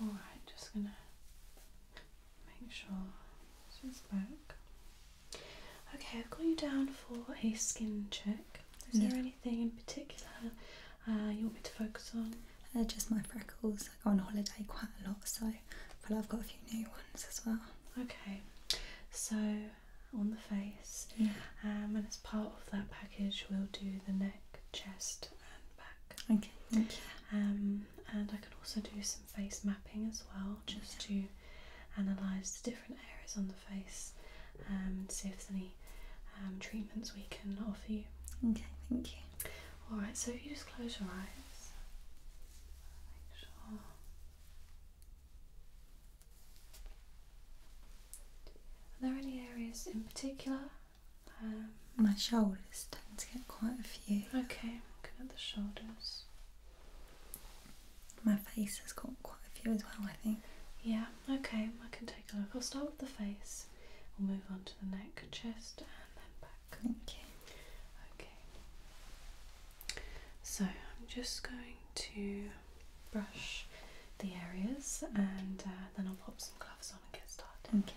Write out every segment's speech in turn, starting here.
Alright, just gonna make sure this is back. Okay, I've got you down for a skin check. Is there anything in particular uh, you want me to focus on? Uh, just my freckles. I go on holiday quite a lot, so I I've got a few new ones as well. Okay, so on the face, um, and as part of that package, we'll do the neck, chest, and back. Okay, thank you. Um, and I can also do some face mapping as well, just to analyse the different areas on the face um, and see if there's any um, treatments we can offer you. Okay, thank you. Alright, so if you just close your eyes, make sure. Are there any areas in particular um, my shoulders tend to get quite a few. Okay, looking at the shoulders. My face has got quite a few as well, I think. Yeah, okay, I can take a look. I'll start with the face. We'll move on to the neck, chest, and then back. Thank Okay. So I'm just going to brush the areas and uh, then I'll pop some gloves on just want to get started. Okay.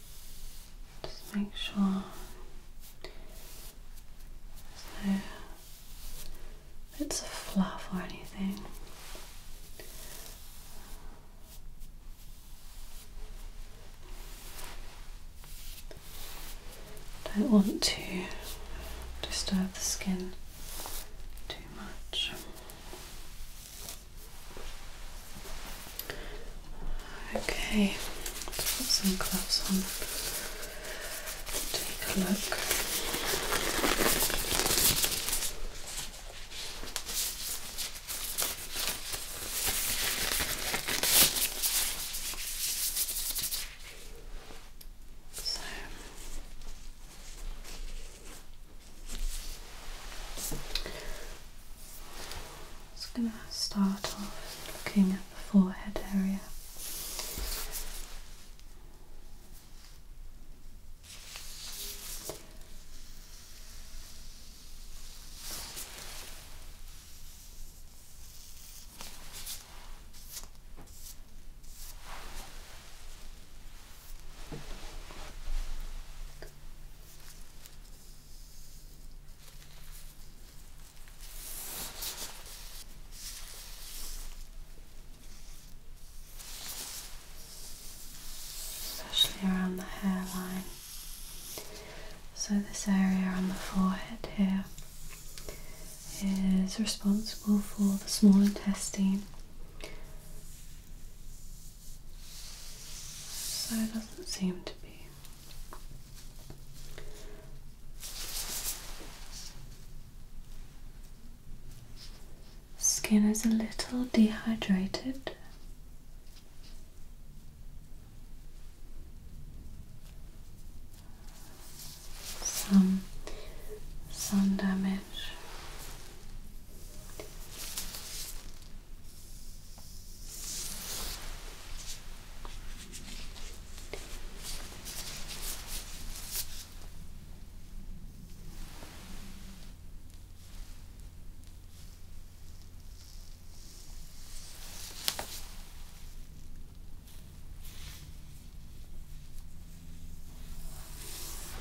Just make sure there's no bits fluff or anything. Don't want to disturb the skin too much. Okay, let's put some gloves on. Take a look. So I'm Just going to start off looking at the forehead area especially around the hairline. So, this area on the forehead here is responsible for the small intestine. So, it doesn't seem to be Skin is a little dehydrated. Some sun damage.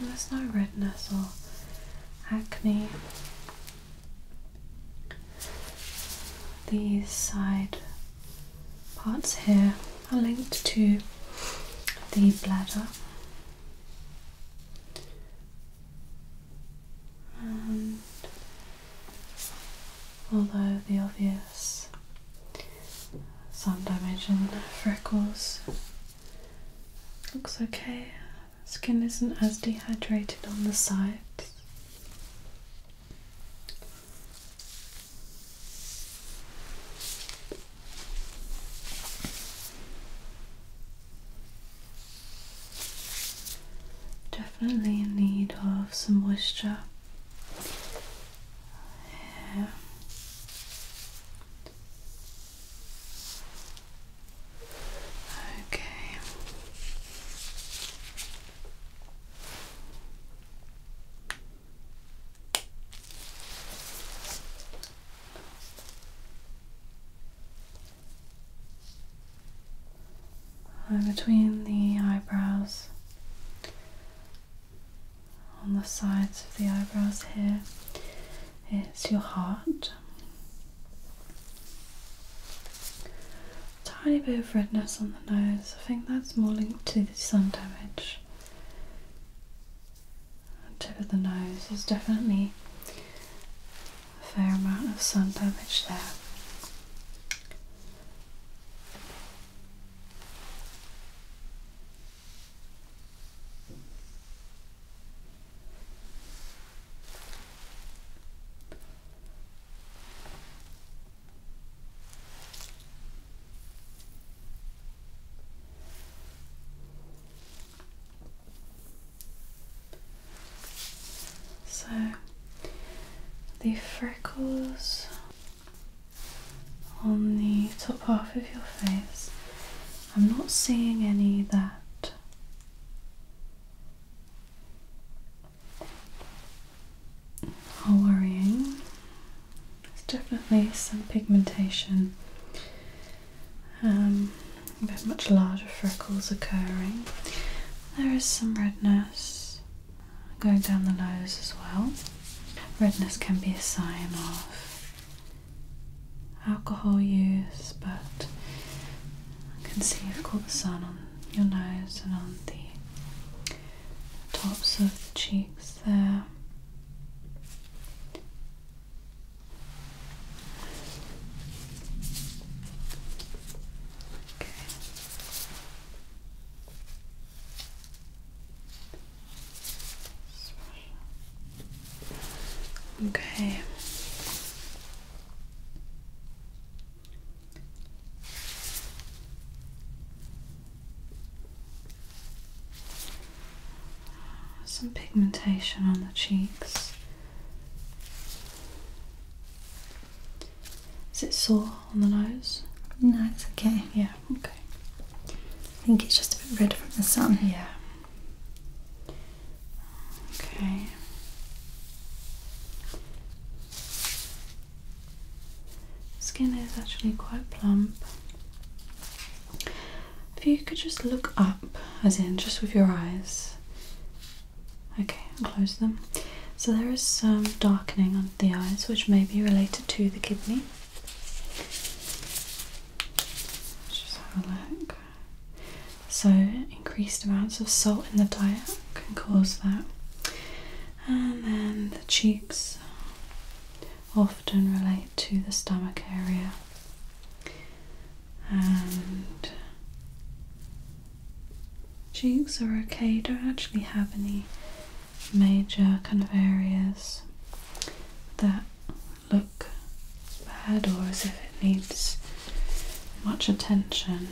There's no redness or acne these side parts here are linked to the bladder. And although the obvious sun damage and freckles looks okay, Skin isn't as dehydrated on the sides. Definitely in need of some moisture here. Okay. Between the eyebrows, on the sides of the eyebrows here, is your heart. Tiny bit of redness on the nose. I think that's more linked to the sun damage. The tip of the nose. There's definitely a fair amount of sun damage there. So the freckles on the top half of your face, I'm not seeing any that are worrying. There's definitely some pigmentation, um, but much larger freckles occurring. There is some redness going down the nose as well. Redness can be a sign of alcohol use, but I can see you've caught the sun on your nose and on the tops of the cheeks there. Okay. Okay. Some pigmentation on the cheeks. Is it sore on the nose? No, it's okay. Yeah, okay. I think it's just a bit red from the sun. Yeah. Okay. Skin is actually quite plump. If you could just look up, as in just with your eyes. Okay, close them. So there is some darkening under the eyes, which may be related to the kidney. Let's just have a look. So, increased amounts of salt in the diet can cause that. And then the cheeks often relate to the stomach area. And cheeks are okay, don't actually have any major kind of areas that. Look bad or as if it needs much attention.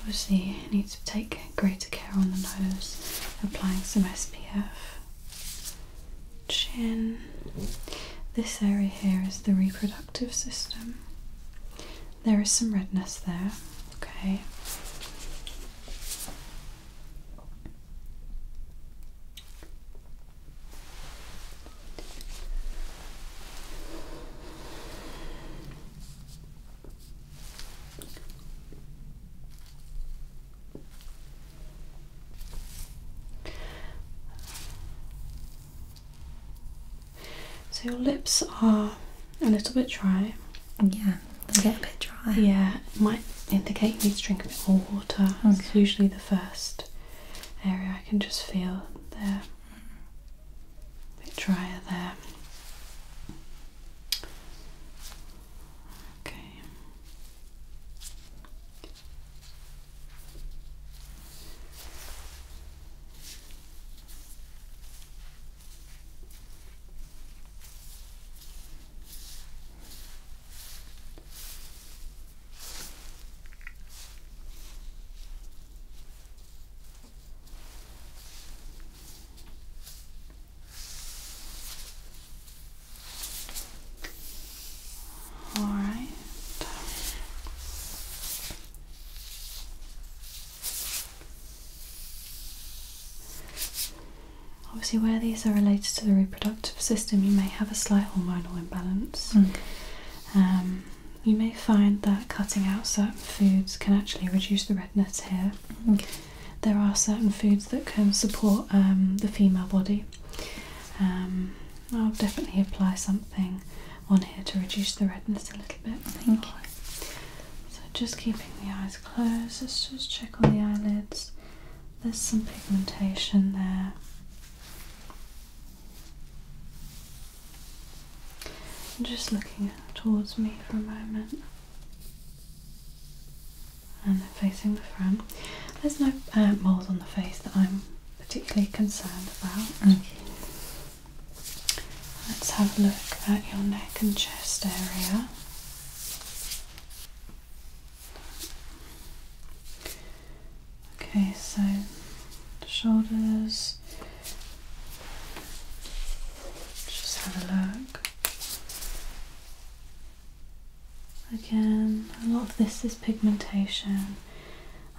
Obviously, you need to take greater care on the nose, applying some SPF. Chin. This area here is the reproductive system. There is some redness there, okay. So your lips are a little bit dry. Yeah, they get a bit dry. Yeah, might indicate you need to drink a bit more water. It's usually the first area. I can just feel there. A bit drier there. Okay. All right. Obviously, where these are related to the reproductive system, you may have a slight hormonal imbalance. Hmm. Um, you may find that cutting out certain foods can actually reduce the redness here. Hmm. There are certain foods that can support um, the female body. Um, I'll definitely apply something on here to reduce the redness a little bit. So just keeping the eyes closed. Let's just check on the eyelids. There's some pigmentation there. Just looking towards me for a moment and then facing the front. There's no uh, moles on the face that I'm particularly concerned about. Mm. Let's have a look at your neck and chest area. Okay, so the shoulders. Just have a look. Again, a lot of this is pigmentation.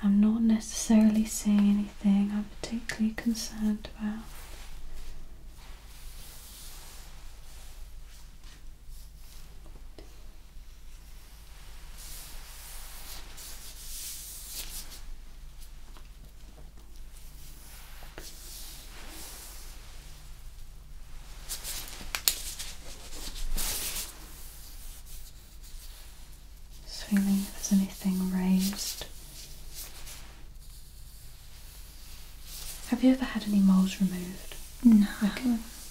I'm not necessarily seeing anything I'm particularly concerned about. Just if there's anything raised. Have you ever had any moles removed? No.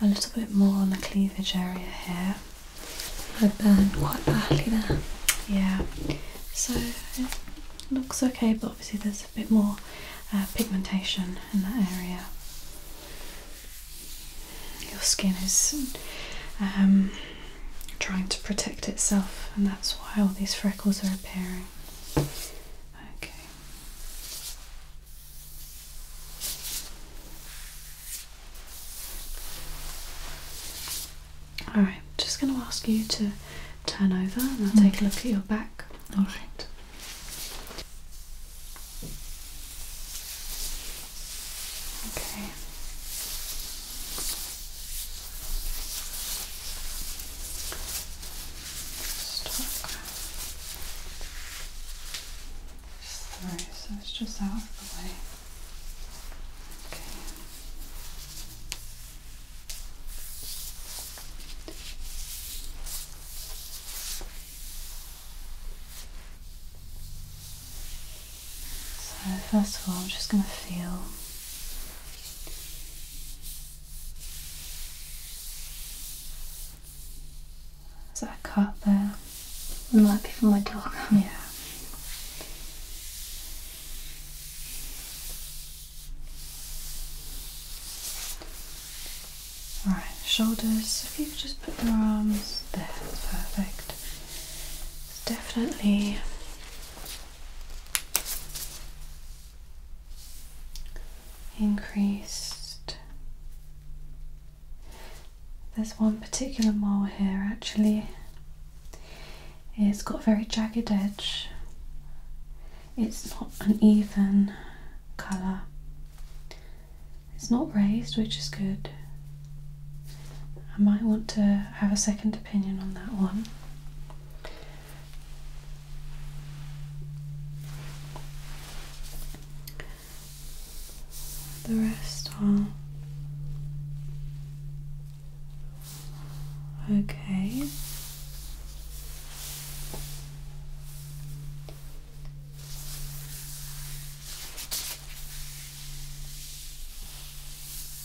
A little bit more on the cleavage area here. I burned quite badly there. Yeah, so it looks okay, but obviously there's a bit more uh, pigmentation in that area. Your skin is um, trying to protect itself, and that's why all these freckles are appearing. Okay. Alright, just going to ask you to turn over and I'll take a look at your back. Alright. Okay. Stock. so it's just out of the way. Okay. So first of all, I'm just going to feel is that a cut there? It might be from my dog. Yeah. Alright, shoulders, if you could just put your arms there, perfect. It's definitely increased. There's one particular mole here actually. It's got a very jagged edge. It's not an even colour. It's not raised, which is good. I might want to have a second opinion on that one. The rest are okay.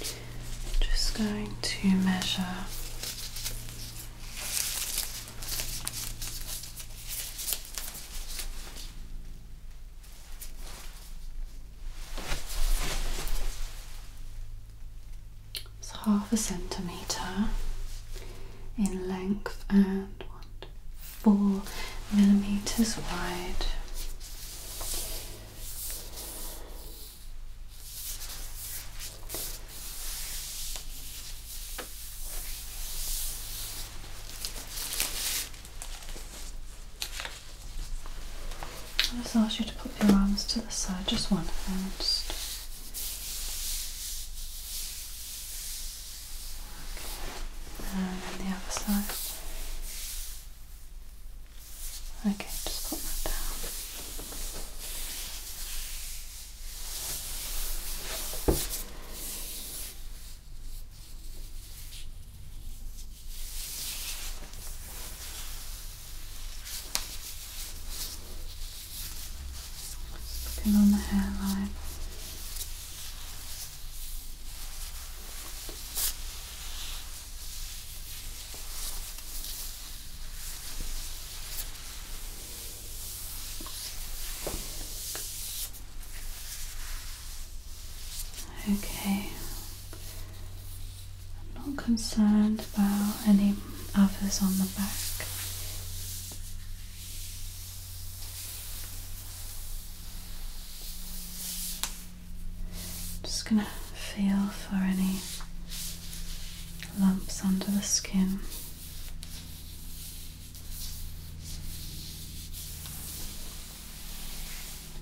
I'm just going to measure it's half a centimetre in length and four millimetres wide i just ask you to put your arms to the side, just one hand. Just And then the other side. Okay, just put that down. Just on the hairline. Okay, I'm not concerned about any others on the back just going to feel for any lumps under the skin.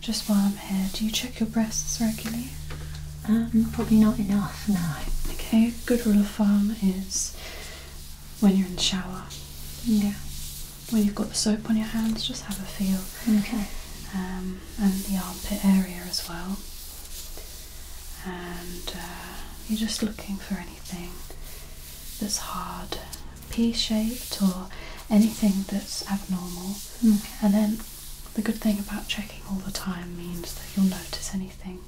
Just while I'm here, do you check your breasts regularly? Um, probably not enough, no. Okay, good rule of thumb is when you're in the shower. Yeah. When you've got the soap on your hands, just have a feel. Okay. Um, and the armpit area as well. And uh, you're just looking for anything that's hard, pea shaped, or anything that's abnormal. Mm. And then the good thing about checking all the time means that you'll notice anything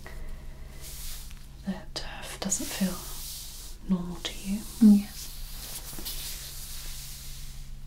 that uh, doesn't feel normal to you. Mm,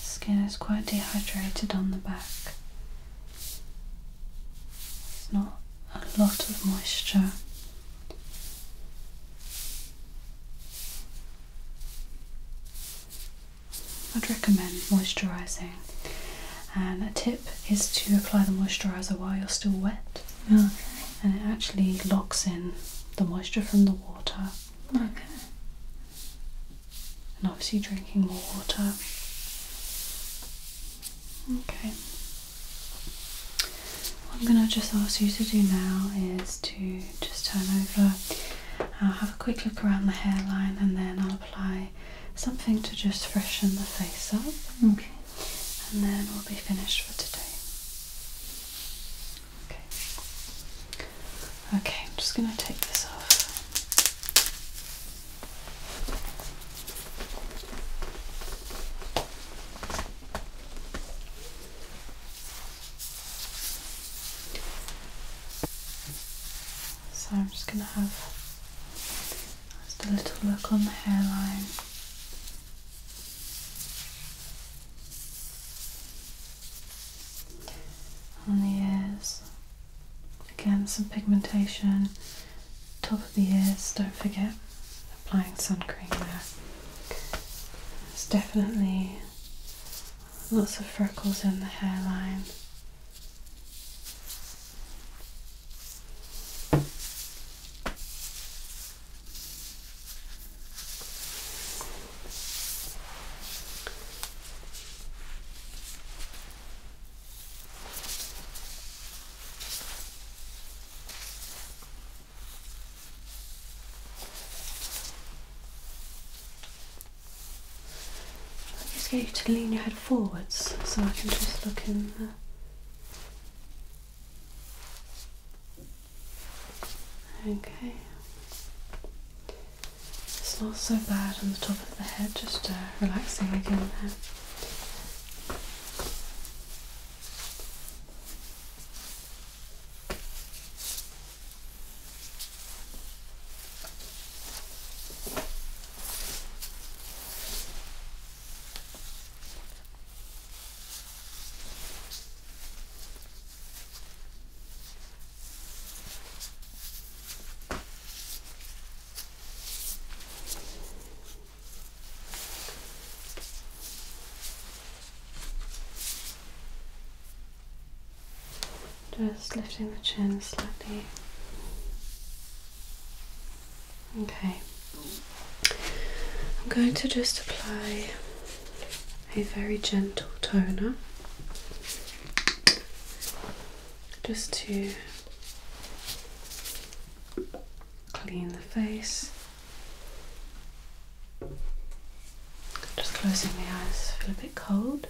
Skin is quite dehydrated on the back. It's not a lot of moisture. I'd recommend moisturising, and a tip is to apply the moisturiser while you're still wet. And it actually locks in the moisture from the water. Okay. And obviously drinking more water. Okay. What I'm gonna just ask you to do now is to just turn over. I'll uh, have a quick look around the hairline and then I'll apply something to just freshen the face up. Okay. And then we'll be finished for today. Okay. Okay, I'm just going to take this off. So I'm just going to have just a little look on the hairline. On the ears, again some pigmentation. Top of the ears, don't forget applying sun cream there. There's definitely lots of freckles in the hairline i just need you to lean your head forwards so I can just look in there. Okay. It's not so bad on the top of the head, just uh, relaxing again there. Just lifting the chin slightly. Okay. I'm going to just apply a very gentle toner just to clean the face. Just closing my eyes, feel a bit cold.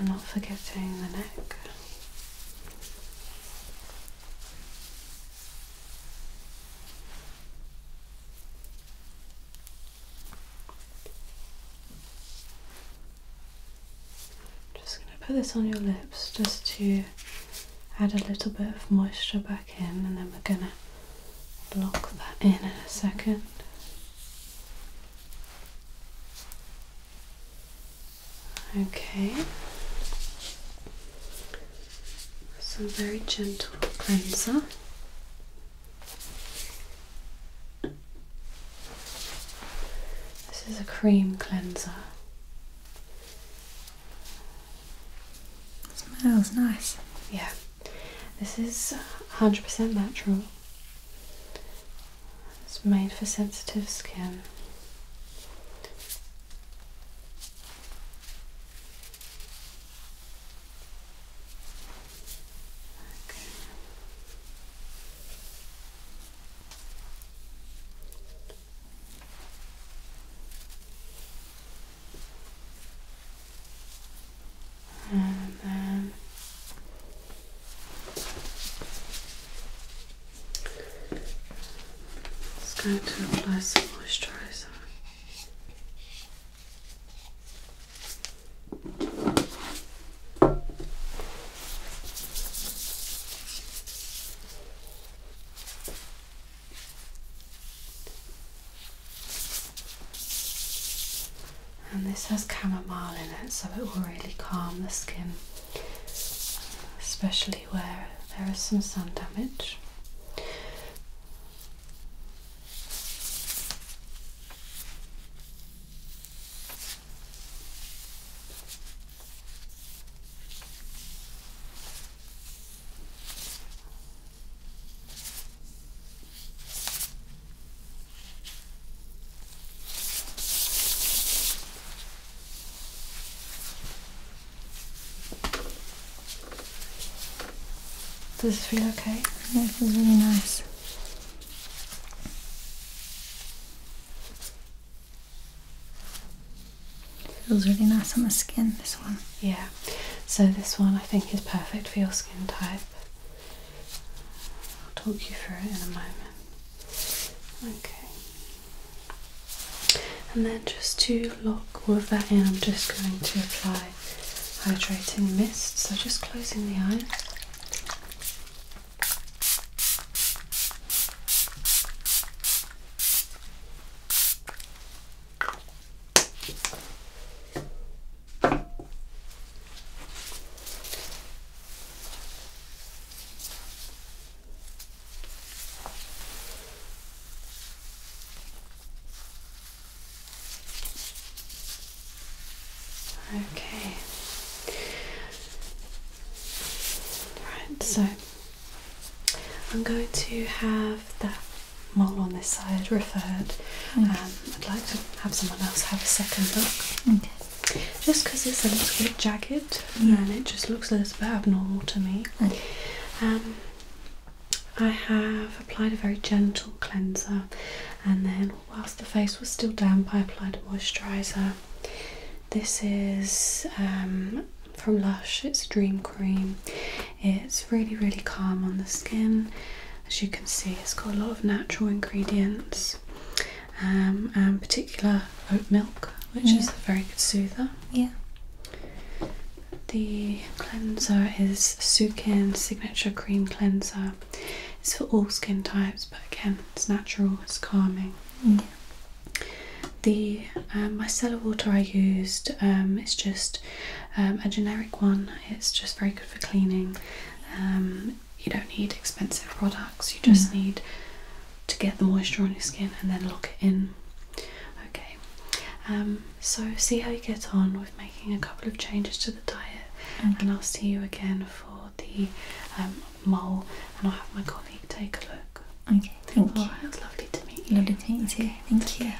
And not forgetting the neck. Just going to put this on your lips just to add a little bit of moisture back in, and then we're going to block that in in a second. Okay, so very gentle cleanser. This is a cream cleanser. Smells nice. Yeah, this is 100% natural. It's made for sensitive skin. Okay. And then just going to apply some moisturizer. And this has chamomile in it, so it will really calm the skin, especially where there is some sun damage. Does this feel okay? Yeah, it feels really nice. Feels really nice on the skin, this one. Yeah, so this one I think is perfect for your skin type. I'll talk you through it in a moment. Okay. And then just to lock all of that in, I'm just going to apply hydrating mist. So just closing the eyes. Okay. Right, so I'm going to have that mole on this side referred. Okay. Mm. Um, I'd like to have someone else have a second look. Just because it's a little bit jagged mm. and it just looks a little bit abnormal to me. Um, I have applied a very gentle cleanser and then whilst the face was still damp I applied a moisturiser this is um, from Lush, it's Dream Cream. It's really, really calm on the skin. As you can see, it's got a lot of natural ingredients, um, and particular oat milk, which is mm. a very good soother. Yeah. The cleanser is Sukin Signature Cream Cleanser. It's for all skin types, but again, it's natural, it's calming. Yeah. The um, micellar water I used um, its just um, a generic one. It's just very good for cleaning. Um, you don't need expensive products. You just mm. need to get the moisture on your skin and then lock it in. Okay. so see how you get on with making a couple of changes to the diet, mm. and I'll see you again for the mole, and I'll have my colleague take a look. Okay, thank oh, you. Right, it's lovely to meet you. Lovely to meet you thank, you.